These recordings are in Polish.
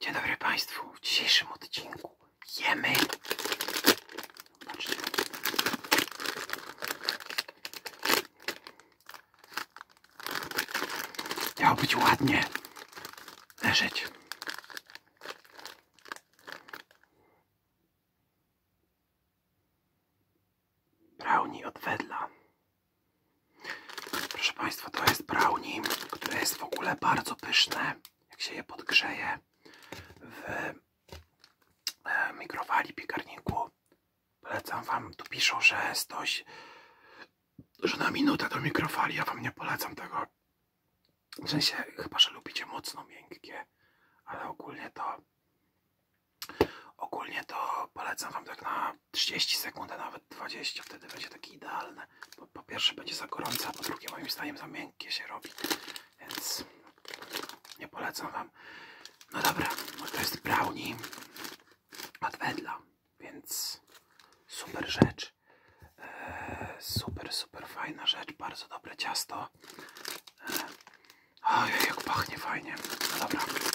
Dzień dobry Państwu. W dzisiejszym odcinku jemy. Zobaczcie. Miało być ładnie leżeć. Brownie od Wedla. Proszę Państwa, to jest brownie, które jest w ogóle bardzo pyszne, jak się je podgrzeje w e, mikrowali, piekarniku. Polecam Wam, tu piszą, że jest stoś, że na minutę do mikrofali, ja Wam nie polecam tego. W sensie, chyba, że lubicie mocno miękkie, ale ogólnie to ogólnie to polecam Wam tak na 30 sekund, a nawet 20, wtedy będzie takie idealne. Bo po pierwsze będzie za gorące, a po drugie moim zdaniem za miękkie się robi. Więc nie polecam wam. No dobra, no to jest brownie od Wedla, więc super rzecz. Eee, super, super fajna rzecz, bardzo dobre ciasto. Eee, oj, jak pachnie fajnie. No dobra.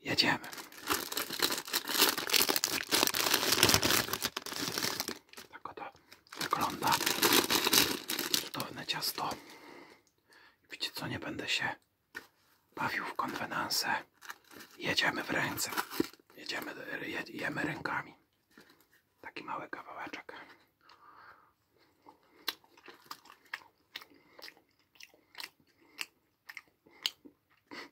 Jedziemy. Tak to wygląda cudowne ciasto. Widzicie, co, nie będę się bawił w konwenanse. Jedziemy w ręce. Jedziemy, jemy rękami. Taki mały kawałeczek.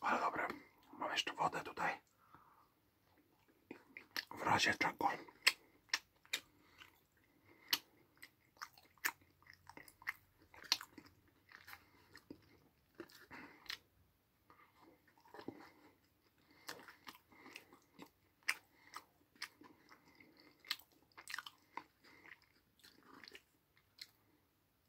Ale dobra, mam jeszcze wodę tutaj. W razie czego.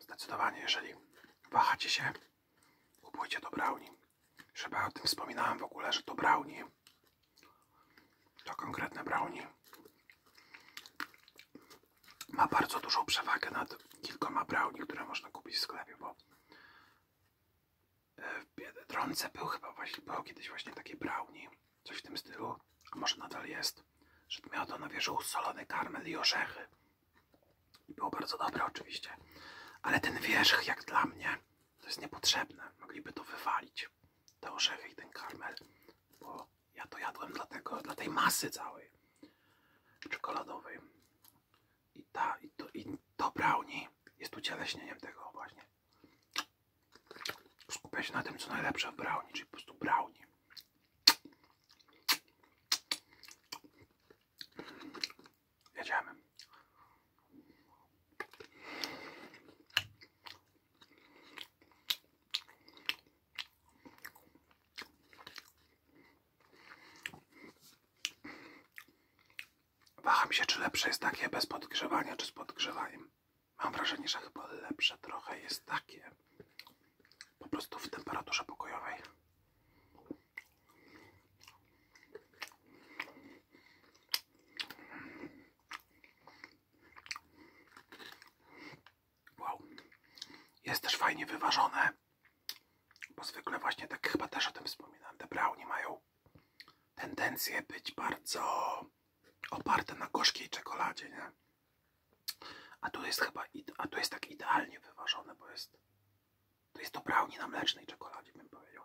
Zdecydowanie, jeżeli wahacie się, kupujcie to brownie. Chyba o tym wspominałem w ogóle, że to brownie. To konkretne brownie. Ma bardzo dużą przewagę nad kilkoma brownie, które można kupić w sklepie, bo e, w Biedronce był chyba właśnie, był kiedyś właśnie takie brownie Coś w tym stylu, a może nadal jest, że miała to na wierzchu solony karmel i orzechy. I było bardzo dobre oczywiście. Ale ten wierzch, jak dla mnie, to jest niepotrzebne. Mogliby to wywalić, te orzechy i ten karmel. Bo ja to jadłem dlatego, dla tej masy całej czekoladowej. I ta, i to, i to brownie jest ucieleśnieniem tego właśnie. Skupia na tym, co najlepsze w brownie, czyli po prostu brownie. Jedziemy. Waham się, czy lepsze jest takie bez podgrzewania, czy z podgrzewaniem. Mam wrażenie, że chyba lepsze trochę jest takie po prostu w temperaturze pokojowej. Wow, jest też fajnie wyważone, bo zwykle właśnie tak chyba też o tym wspominam. te brownie mają tendencję być bardzo oparte na gorzkiej czekoladzie, nie? A tu jest chyba, a tu jest tak idealnie wyważone, bo jest, to jest to brownie na mlecznej czekoladzie, bym powiedział.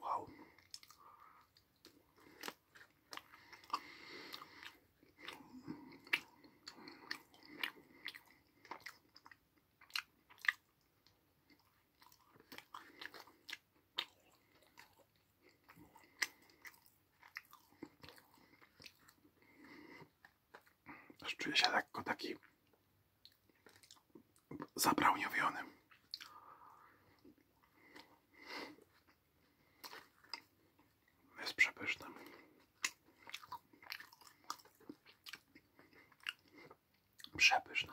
Wow. Też czuję się lekko taki zabrałniowionym. Jest przepyszny. Przepyszny.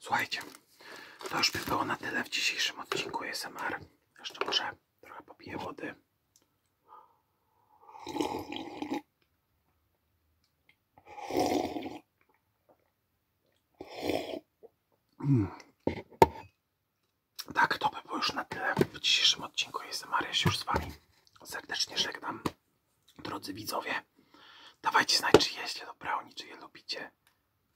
Słuchajcie, to już by było na tyle w dzisiejszym odcinku SMR. Jeszcze może trochę popiję wody. Hmm. Tak, to by było już na tyle w dzisiejszym odcinku. Jestem Mariusz już z Wami. Serdecznie żegnam. Drodzy widzowie, dawajcie znać, czy jeźdźcie do brownie, czy je lubicie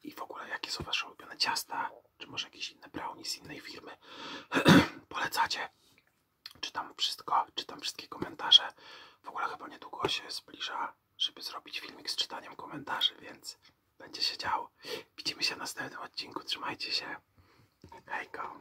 i w ogóle jakie są wasze ulubione ciasta, czy może jakieś inne brownie z innej firmy polecacie. Czytam wszystko, czytam wszystkie komentarze. W ogóle chyba niedługo się zbliża, żeby zrobić filmik z czytaniem komentarzy, więc będzie się działo. Widzimy się w następnym odcinku. Trzymajcie się. Hejka.